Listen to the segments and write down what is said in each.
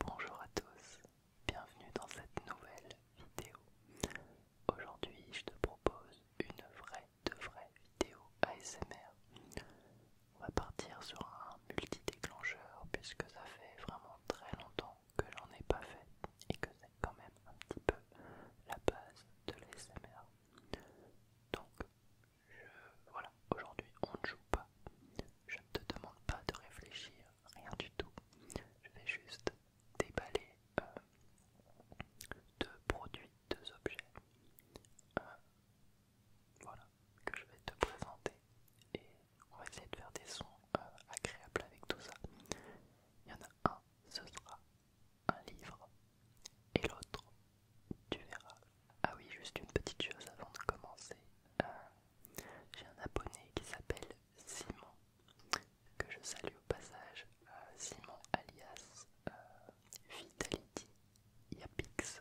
Bonjour à tous, bienvenue dans cette nouvelle vidéo. Aujourd'hui je te propose une vraie de vraie vidéo ASMR. On va partir sur un multi-déclencheur puisque ça fait vraiment très longtemps que j'en ai pas fait et que c'est quand même un petit peu la base de l'ASMR. Donc voilà, aujourd'hui on ne joue pas. Je ne te demande pas de réfléchir, rien du tout. Je vais juste déballer euh, deux produits, deux objets. voilà, que je vais te présenter et on va essayer de faire des sons euh, agréables avec tout ça. Il y en a un, ce sera un livre et l'autre, tu verras. Ah oui, juste une petite chose avant de commencer. Euh, j'ai un abonné qui s'appelle Simon, que je salue au passage. Euh, Simon alias Vitality euh, Yapix,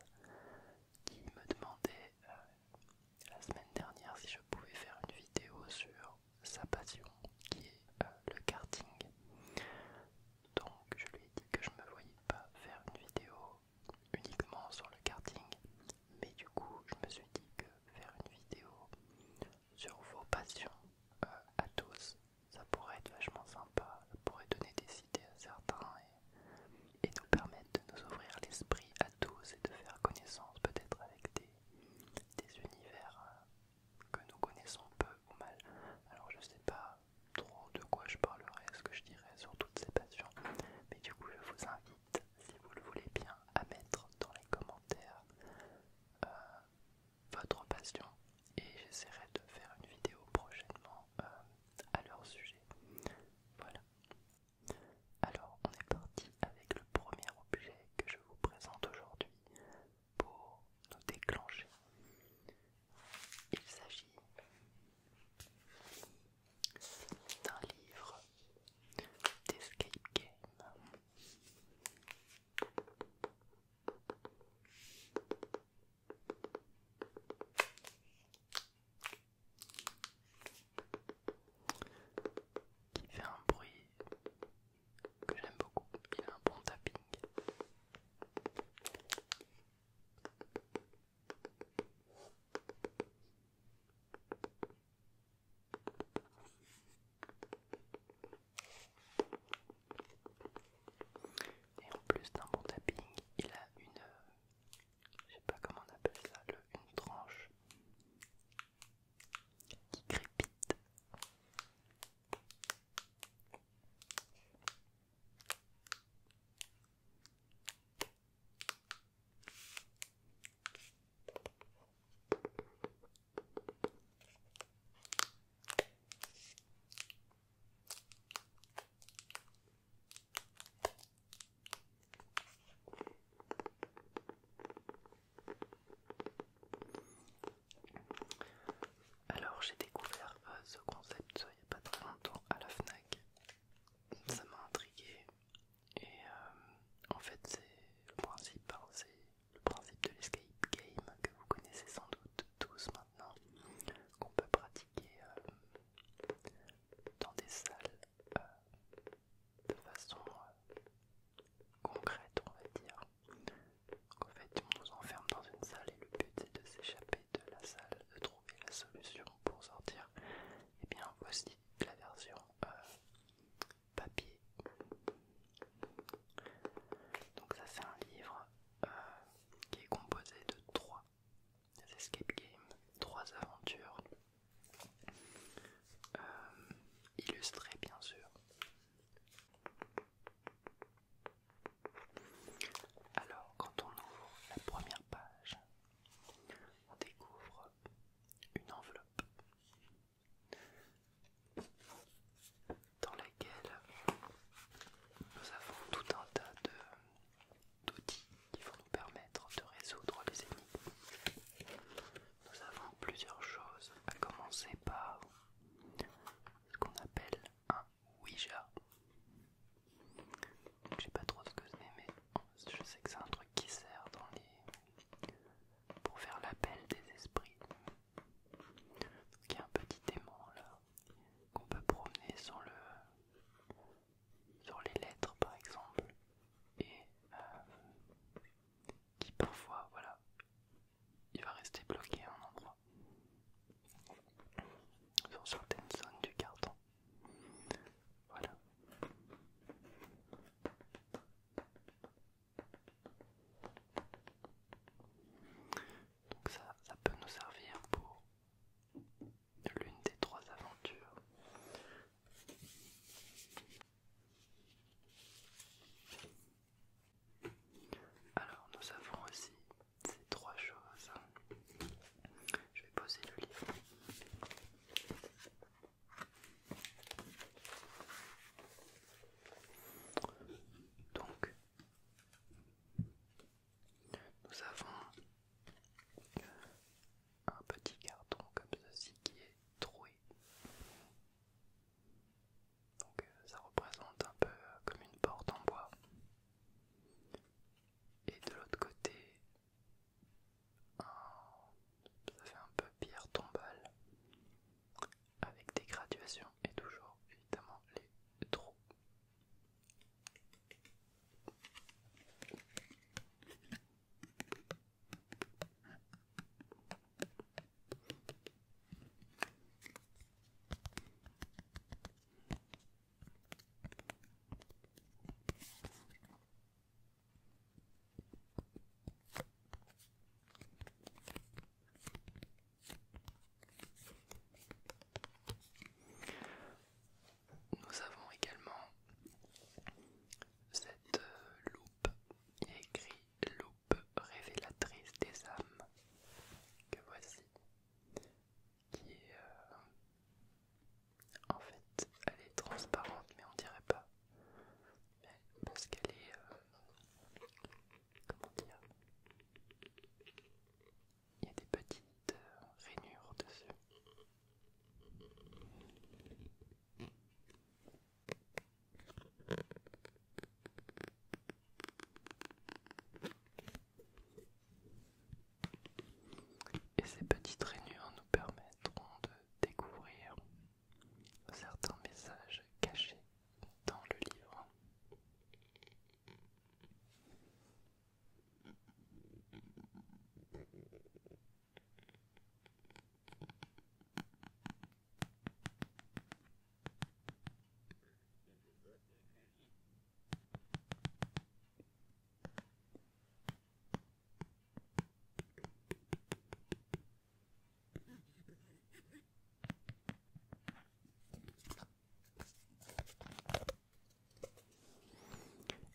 qui me demandait euh, la semaine dernière si je pouvais faire une vidéo sur sa passion qui est le karting. Donc je lui ai dit que je ne me voyais pas faire une vidéo uniquement sur le karting, mais du coup je me suis dit que faire une vidéo sur vos passions euh, à tous, ça pourrait être vachement sympa, pourrait donner des idées à certains et, nous permettre de nous ouvrir l'esprit à tous et de faire connaissance peut-être avec des, univers euh, que nous connaissons peu ou mal. Alors je sais pas trop de quoi je parlerai, ce que je dirai sur toutes ces passions. Mais du coup, je vous invite, si vous le voulez bien, à mettre dans les commentaires euh, votre passion et j'essaierai de faire une vidéo prochainement euh, à leur sujet. Voilà. Alors, on est parti avec le premier objet que je vous présente aujourd'hui pour nous déclencher. Il s'agit c'est un livre d'escape game. Qui fait un bruit que j'aime beaucoup. Il a un bon tapping. Et en plus d'un bon tapping, il a une, euh, je sais pas comment on appelle ça, le, une tranche qui crépite. Alors j'ai découvert euh, ce concept il n'y a pas très longtemps à la FNAC ça m'a intrigué et euh, en fait c'est le principe, hein, le principe de l'escape game que vous connaissez sans doute tous maintenant, qu'on peut pratiquer euh, dans des salles euh, de façon concrète on va dire. En fait on nous enferme dans une salle et le but c'est de s'échapper de la salle, de la solution pour sortir, et eh bien voici la version euh, papier. Donc ça c'est un livre euh, qui est composé de trois escape games, trois aventures, euh, illustrées bien sûr. Alors quand on ouvre la première page, on découvre une enveloppe dans laquelle nous avons tout un tas d'outils qui vont nous permettre de résoudre les ennemis. Nous avons plusieurs choses, à commencer par ce qu'on appelle un Ouija. Je sais pas trop ce que c'est, mais je sais que c'est un truc qui sert dans les... pour faire l'appel des esprits. il y a un petit aimant là qu'on peut promener sur le sur les lettres par exemple et euh, qui parfois voilà il va rester bloqué à un endroit sur certaines zones du carton voilà. Donc ça, ça peut nous servir pour l'une des trois aventures. Alors nous avons aussi ces trois choses. Je vais poser le livre. Donc, nous avons un petit carton comme ceci qui est troué. Donc, euh, ça représente un peu euh, comme une porte en bois. Et de l'autre côté, ça fait un peu pierre tombale avec des graduations et toujours évidemment les trous. Nous avons également cette euh, loupe, écrit loupe révélatrice des âmes, que voici qui est euh, en fait elle est transparente mais on dirait pas parce qu'elle est euh, comment dire il y a des petites euh, rainures dessus et ces petites rainures nous permettront de découvrir certains messages cachés dans le livre.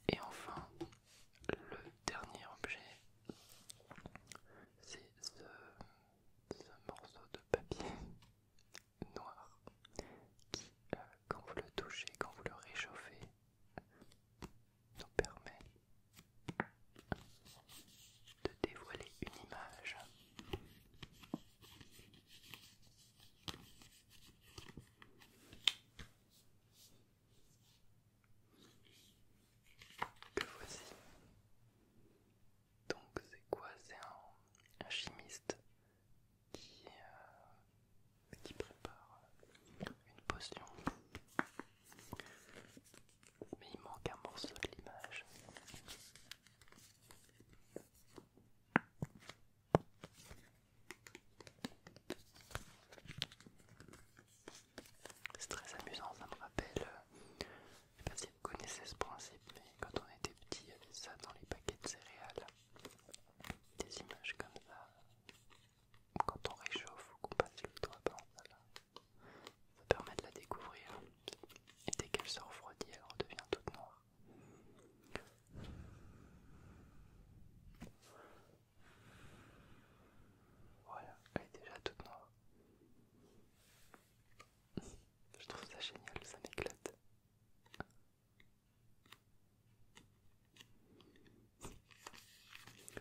Et enfin, le dernier objet, c'est ce, morceau de papier noir qui, euh, quand vous le touchez, quand vous le réchauffez, nous permet de dévoiler une image. Que voici. Donc c'est quoi C'est un chimiste euh, qui, prépare une potion. Mais il manque un morceau de l'image. C'est très amusant, ça me rappelle. Euh, je sais pas si vous connaissez ce principe, mais quand on était petit, il y avait ça dans les paquets de céréales des images comme ça, quand on réchauffe ou qu'on passe le doigt ça permet de la découvrir. Et dès qu'elle se refroidit, elle redevient toute noire. Voilà, elle est déjà toute noire. Je trouve ça génial, ça m'éclate.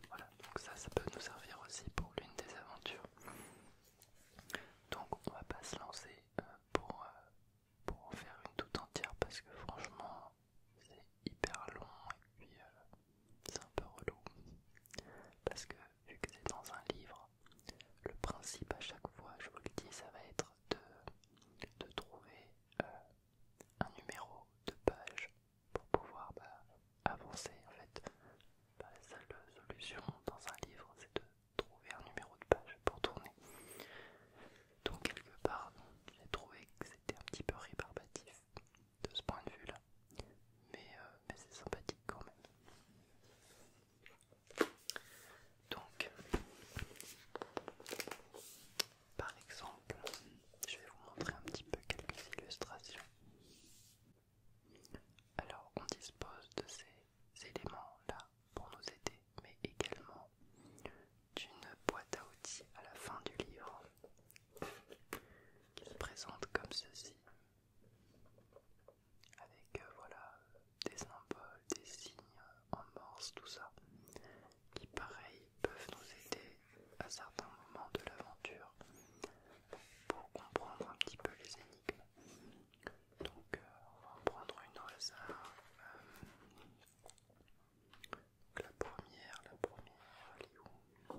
Voilà, donc ça, ça peut nous servir aussi pour l'une des aventures. Donc on va pas se lancer euh, euh, pour, en faire une toute entière parce que franchement c'est hyper long et puis euh, c'est un peu relou. Parce que vu que c'est dans un livre, le principe à chaque fois, je vous le dis, ça va être de, de trouver euh, un numéro de page pour pouvoir bah, avancer en fait. Bah, la seule solution dans un livre c'est de trouver un numéro de page pour tourner. Donc quelque part j'ai trouvé que c'était un petit peu rébarbatif de ce point de vue là. Mais, euh, mais c'est sympathique quand même. Donc, par exemple, je vais vous montrer un petit peu quelques illustrations. Alors, on dispose de ces éléments-là pour nous aider, mais également d'une boîte à outils à la fin du livre qui se présente comme ceci, avec euh, voilà des symboles, des signes en morse, tout ça, qui pareil peuvent nous aider à certains moments de l'aventure pour comprendre un petit peu les énigmes. Donc euh, on va prendre une au hasard. Euh, la première, la première, elle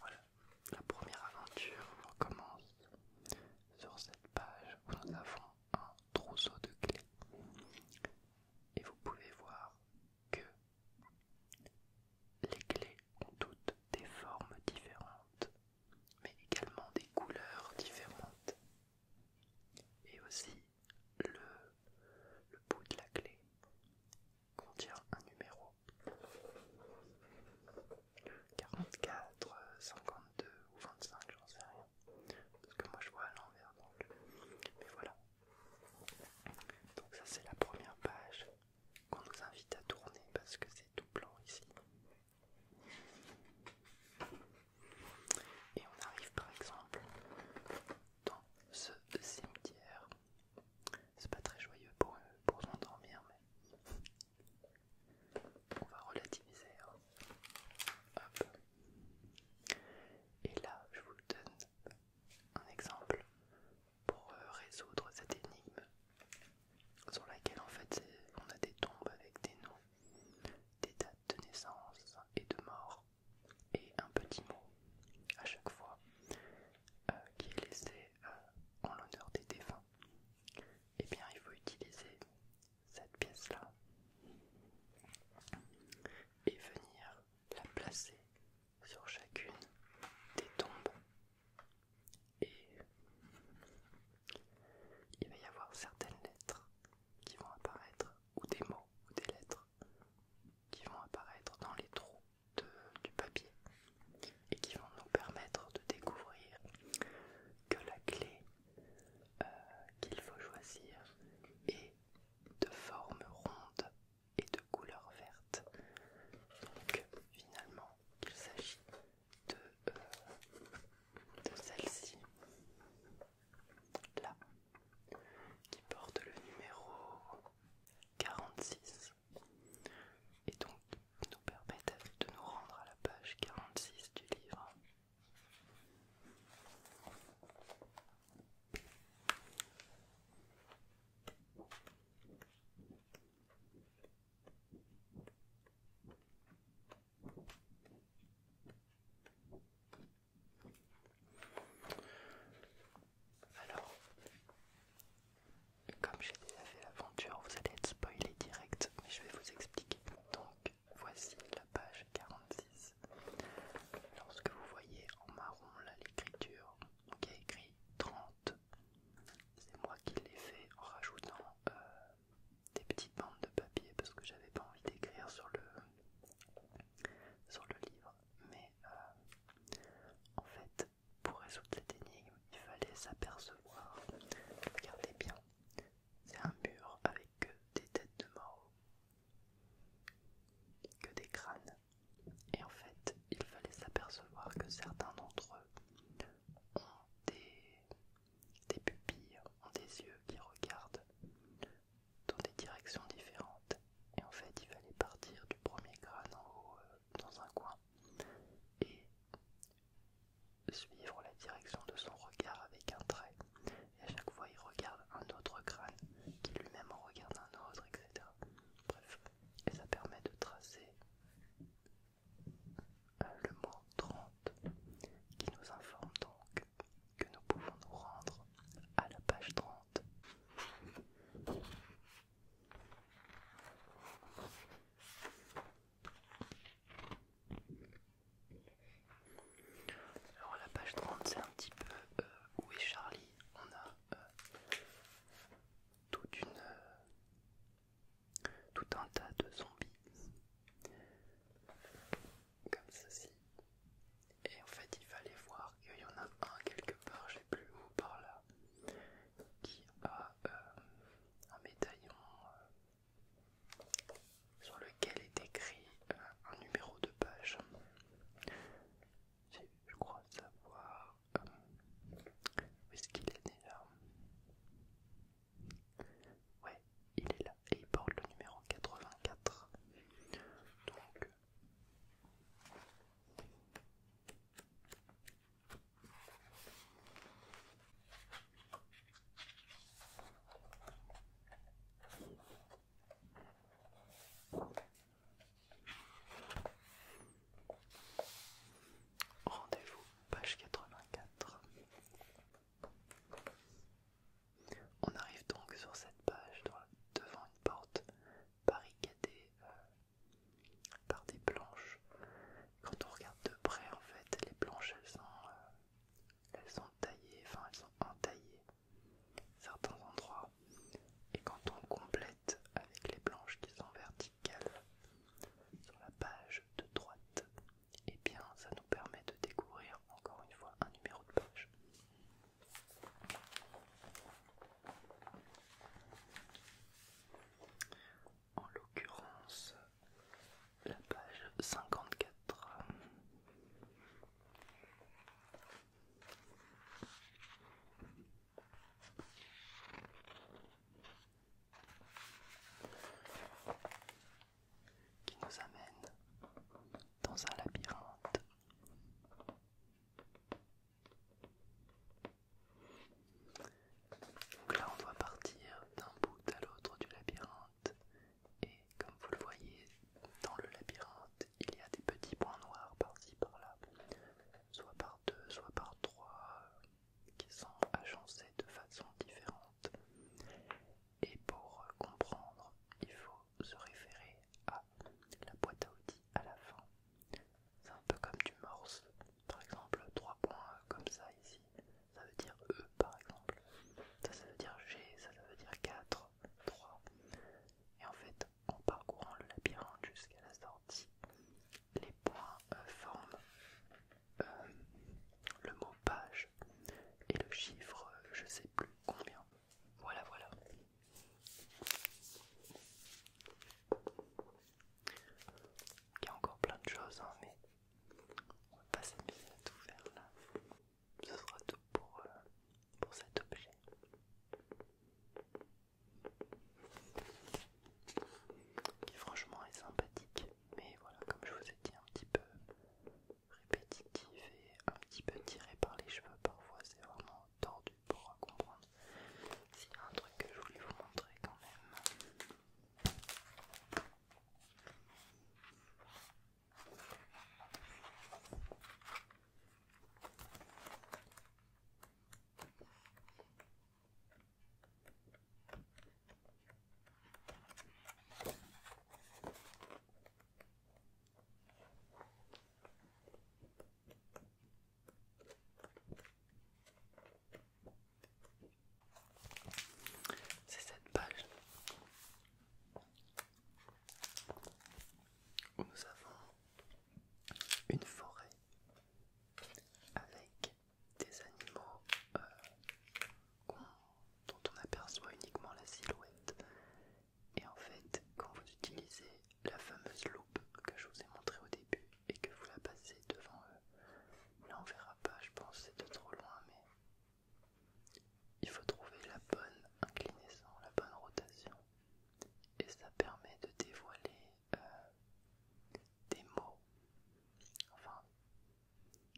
voilà, la première aventure recommence sur cette page où nous avons un trousseau de clés. Et vous pouvez voir que les clés ont toutes des formes différentes, mais également des couleurs différentes. Et aussi, le bout de la clé contient un numéro. 44, 52 ou 25, j'en sais rien. Parce que moi je vois à l'envers donc. Mais voilà. Donc ça c'est la première page qu'on nous invite à tourner parce que c'est tout blanc ici. Et on arrive par exemple dans ce cimetière c'est pas très joyeux euh, pour, s'endormir, mais on va relativiser. Hein. Hop. Et là, je vous donne un exemple pour euh, résoudre cette énigme sur laquelle en fait on a des tombes avec des noms, des dates de naissance et de mort et un petit mot à chaque fois euh, qui est laissé euh, en l'honneur des défunts, et eh bien il faut utiliser cette pièce-là et venir la placer sur chacune des tombes. Et il va y avoir certaines lettres qui vont apparaître, ou des mots, ou des lettres qui vont apparaître dans les trous du papier et qui vont nous permettre de découvrir que la clé euh, qu'il faut choisir est de forme ronde et de couleur verte. Donc finalement il s'agit de, euh, de celle-ci là qui porte le numéro 46 et donc nous permettent de nous rendre à la page 46 du livre. Alors, comme j'ai déjà fait l'aventure, vous allez être spoilé direct, mais je vais vous expliquer. Donc, voici la page 46. Lorsque vous voyez en marron là l'écriture, qui a écrit 30. C'est moi qui l'ai fait en rajoutant euh, des petites bandes de papier parce que j'avais pas envie d'écrire sur le sur le livre mais euh, en fait pour résoudre cette énigme, il fallait s'apercevoir. Regardez bien, c'est un mur avec que des têtes de mort, que des crânes. Et en fait, il fallait s'apercevoir que certains d'entre eux ont des, pupilles, ont des yeux qui regardent dans des directions différentes. Et en fait, il fallait partir du premier crâne en haut euh, dans un coin et suivre la direction de son regard avec un trait. Et à chaque fois, il regarde un autre crâne qui lui-même en regarde un autre, etc. Bref, et ça permet de tracer euh, le mot 30 qui nous informe donc que nous pouvons nous rendre à la page 30. Alors la page 30 c'est un petit peu euh, où est Charlie On a euh, euh, tout un tas de zombies comme ceci. Et en fait il fallait voir qu'il y en a un quelque part, je sais plus où par là qui a euh, un médaillon euh, sur lequel est écrit euh, un numéro de page. Je crois savoir où est-ce qu'il est là. Ouais, il est là et il porte le numéro 84. Donc Rendez-vous, page 84. On arrive donc sur cette page devant une porte barricadée euh, par des planches. Quand on regarde de près, en fait, les planches euh, elles sont, taillées, enfin elles sont entaillées certains endroits. Et quand on complète avec les planches qui sont verticales sur la page de droite, et eh bien ça nous permet de découvrir encore une fois un numéro de page en l'occurrence la page 54. Qui nous amène dans un labyrinthe donc là on doit partir d'un bout à l'autre du labyrinthe et comme vous le voyez dans le labyrinthe il y a des petits points noirs par-ci par-là, soit par deux, soit par trois, qui sont agencés de façon différente. Et pour comprendre, il faut se référer à la boîte à outils à la fin. C'est un peu comme du morse. Par exemple, trois points comme ça ici, ça veut dire E par exemple. Ça, ça veut dire G, ça, ça veut dire 4, 3. Et en fait, en parcourant le labyrinthe jusqu'à la sortie, les points euh, forment euh, le mot page et le chiffre, je sais plus combien. Voilà, voilà. Il y a encore plein de choses, hein, mais on va pas s'amuser à tout faire là. Ce sera tout pour, euh, pour cet objet. Qui franchement est sympathique, mais voilà, comme je vous ai dit, un petit peu répétitif et un petit peu tiré par les cheveux parfois, c'est vraiment tordu pour comprendre. S'il y a un truc que je voulais vous montrer quand même. C'est cette page où nous avons une forêt avec des animaux euh, dont on aperçoit uniquement la silhouette. Et en fait, quand vous utilisez la fameuse loupe que je vous ai montrée au début, et que vous la passez devant eux. Là on verra pas, je pense c'est de trop loin, mais il faut trouver la bonne inclinaison, la bonne rotation. Et ça permet de dévoiler euh, des mots, enfin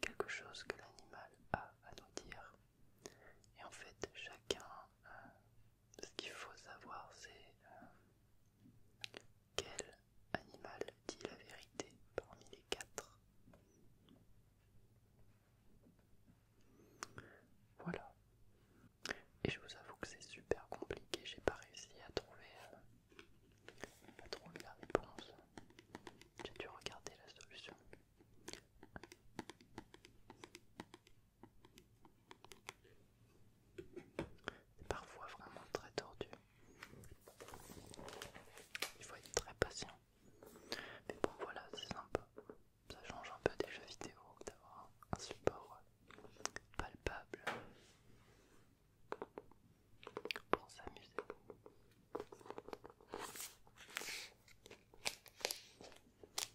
quelque chose que l'animal a à nous dire. Et en fait, chacun euh, ce qu'il faut savoir, c'est euh, quel animal dit la vérité parmi les quatre. Voilà. Et je vous avoue que c'est super compliqué, j'ai pas réussi à trouver euh, la réponse. J'ai dû regarder la solution. C'est parfois vraiment très tordu. Il faut être très patient. Mais bon voilà, c'est sympa. Ça change un peu des jeux vidéo d'avoir un support palpable pour s'amuser.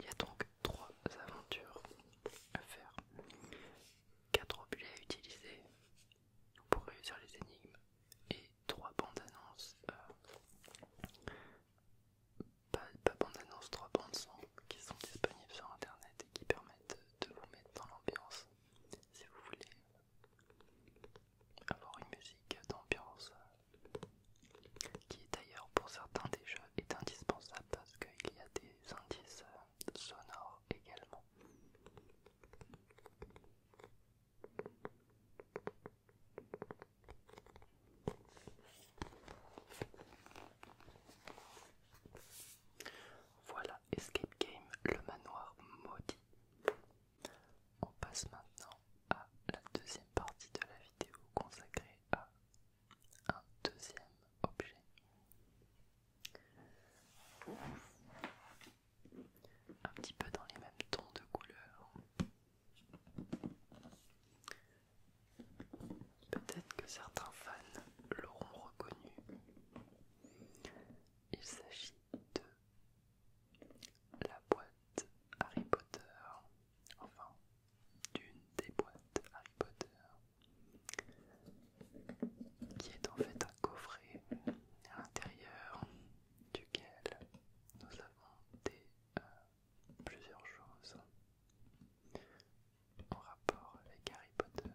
Il y a donc trois aventures à faire, quatre objets à utiliser pour réussir les énigmes et trois bandes annonces, euh, pas, bandes annonces, trois bandes son qui sont disponibles sur internet et qui permettent de vous mettre dans l'ambiance si vous voulez avoir une musique d'ambiance euh, qui d'ailleurs pour certains des jeux est indispensable parce qu'il y a des indices euh, sonores également. Voilà, Escape Game, le manoir maudit. On passe maintenant à la deuxième partie de la vidéo consacrée à un deuxième objet. Un petit peu dans les mêmes tons de couleur. Peut-être que certains fans l'auront reconnu. Il s'agit de la boîte Harry Potter, enfin d'une des boîtes Harry Potter, qui est en fait un coffret à l'intérieur duquel nous avons des, euh, plusieurs choses en rapport avec Harry Potter.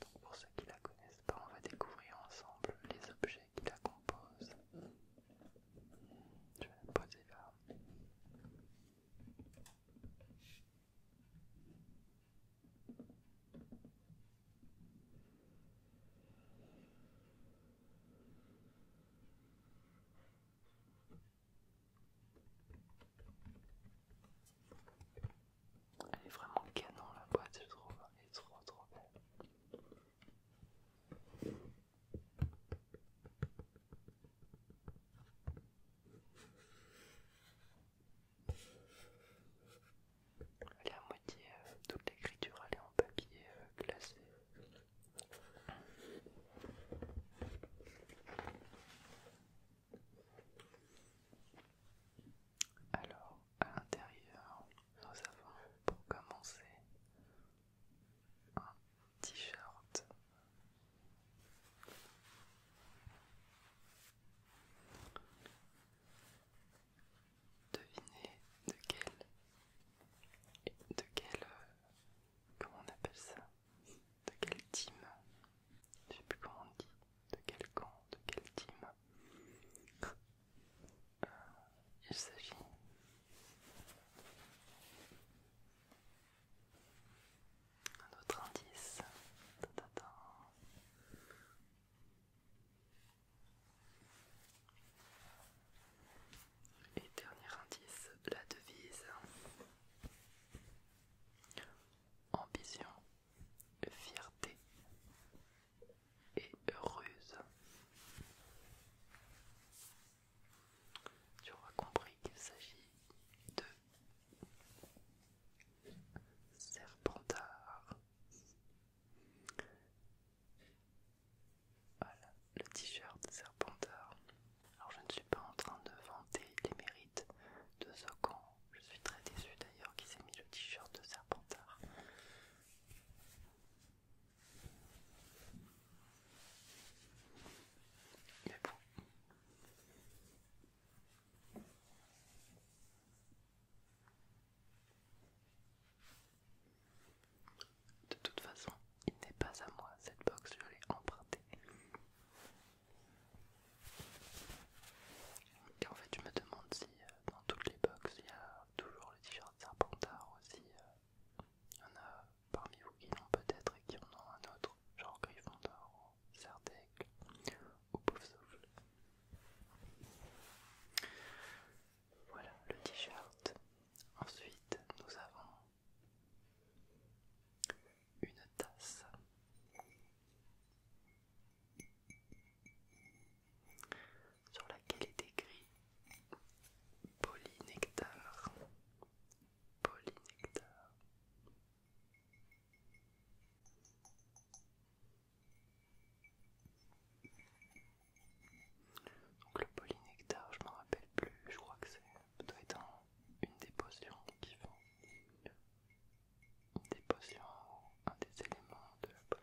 Donc pour ceux qui la connaissent pas, on va découvrir ensemble les objets qui la composent. Je vais la poser là. Elle est vraiment canon la boîte, je trouve. Elle est trop trop belle. La moitié, euh, toute l'écriture elle est en papier euh, glacé. Alors, à l'intérieur, nous avons pour commencer un t-shirt. Devinez de quel... De quel... Euh, comment on appelle ça De quel team Je sais plus comment on dit. De quel camp De quel team euh, Il s'agit... Un autre indice. Et dernier indice, la devise. Ambition, fierté et heureuse. Tu auras compris qu'il s'agit de Serpentard voilà, le t-shirt Serpentard. Alors je ne suis pas en train de vanter les mérites de Zocan. Je suis très déçu d'ailleurs qu'il s'est mis le t-shirt de Serpentard. Mais bon. De toute façon, il n'est pas à moi, cette box, je l'ai empruntée. en fait, je me demande si euh, dans toutes les boxes, il y a toujours les t-shirt Serpentard aussi. Euh, il y en a parmi vous qui l'ont peut-être et qui en ont un autre, genre Gryffondor ou ou Poufsouffle. Voilà le t-shirt. Ensuite, nous avons une tasse. Sur laquelle est écrit Polynectar. Polynectar. Donc le polynectar, je m'en rappelle plus, je crois que c'est peut être une des qui font une des un des éléments de la potion.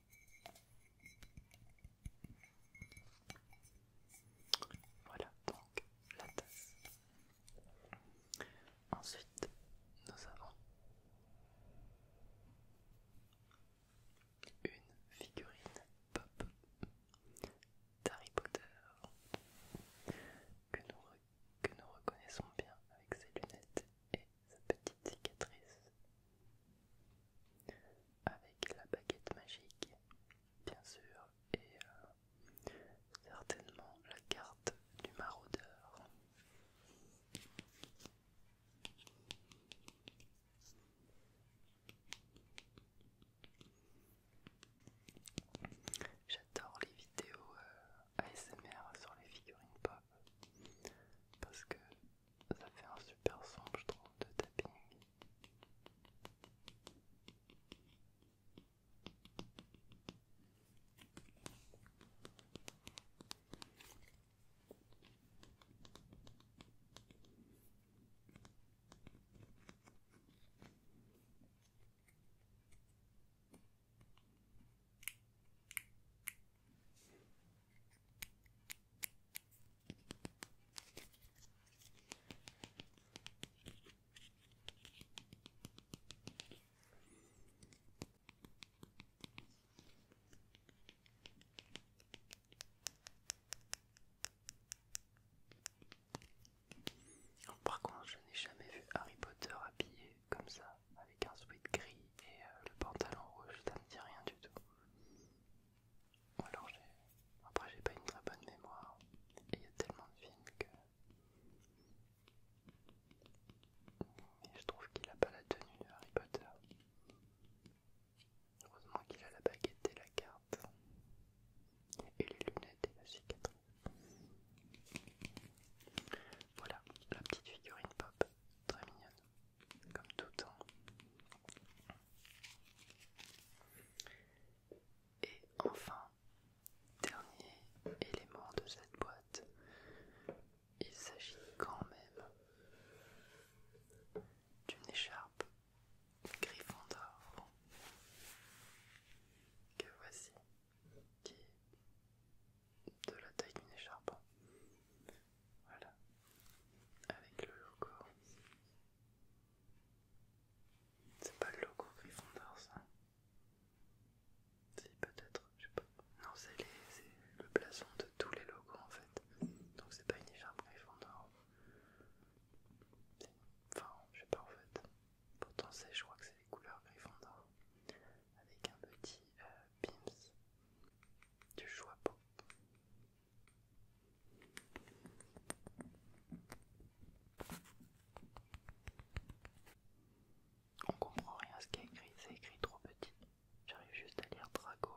Voilà donc la tasse. Ensuite, nous avons une figurine pop d'Harry Potter que nous, que nous reconnaissons bien avec ses lunettes et sa petite cicatrice. Avec la baguette magique, bien sûr, et euh, certainement la carte du maraudeur. J'adore les vidéos euh, ASMR sur les figurines pop parce que ça fait un super son, je trouve, de tapping. Oh, par contre, je n'ai jamais vu Harry Potter habillé comme ça, avec un sweat gris et euh, le pantalon rouge, ça ne dit rien du tout alors j'ai... Après j'ai pas une très bonne mémoire. Et il y a tellement de films que... je trouve qu'il a pas la tenue de Harry Potter. Heureusement qu'il a la baguette et la carte. Et les lunettes et la cicatrice. Voilà, la petite figurine pop, très mignonne comme tout temps. Et enfin, dernier élément de cette boîte, il s'agit quand même d'une écharpe Gryffondor que voici, qui est de la taille d'une écharpe voilà, avec le logo. C'est pas le logo Gryffondor ça Si peut-être, je sais pas. Non, c'est le blason de tous les logos en fait. Donc c'est pas une écharpe Gryffondor. Enfin, je sais pas en fait. Pourtant c'est, je crois que c'est les couleurs Gryffondor. Avec un petit euh, pimps choix pas. On comprend rien à ce qui est écrit, c'est écrit trop petit. J'arrive juste à lire Drago.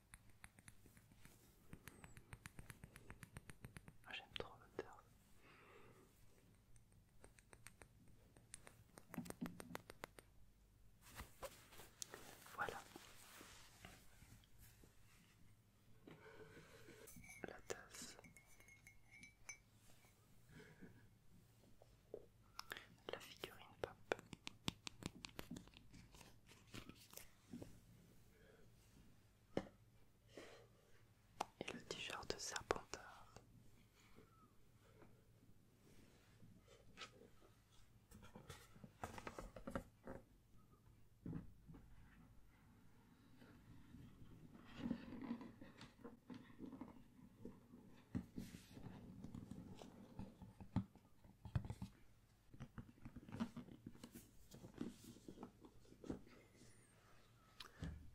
Ah, j'aime trop l'odeur. Voilà. La tasse. La figurine pop et le t-shirt serpentard.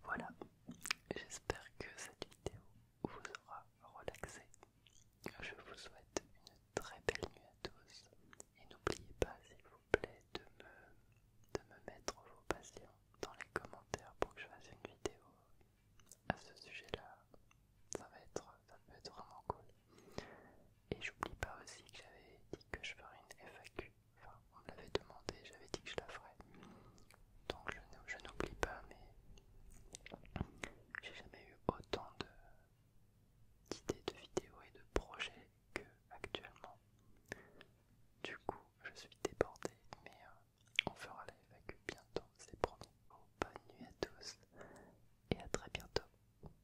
Voilà, j'espère que cette vidéo vous aura relaxé. Je vous souhaite une très belle nuit à tous et n'oubliez pas s'il vous plaît de me, de me mettre vos passions dans les commentaires pour que je fasse une vidéo à ce sujet là. Ça va être vraiment cool. Et j'oublie pas aussi que j'avais dit que je ferais une FAQ. Enfin, on me l'avait demandé, j'avais dit que je la ferais. Donc je n'oublie pas, mais j'ai jamais eu autant d'idées de, vidéos et de projets que actuellement. Du coup, je suis débordé, mais euh, on fera la FAQ bientôt, c'est promis. Bonne nuit à tous et à très bientôt.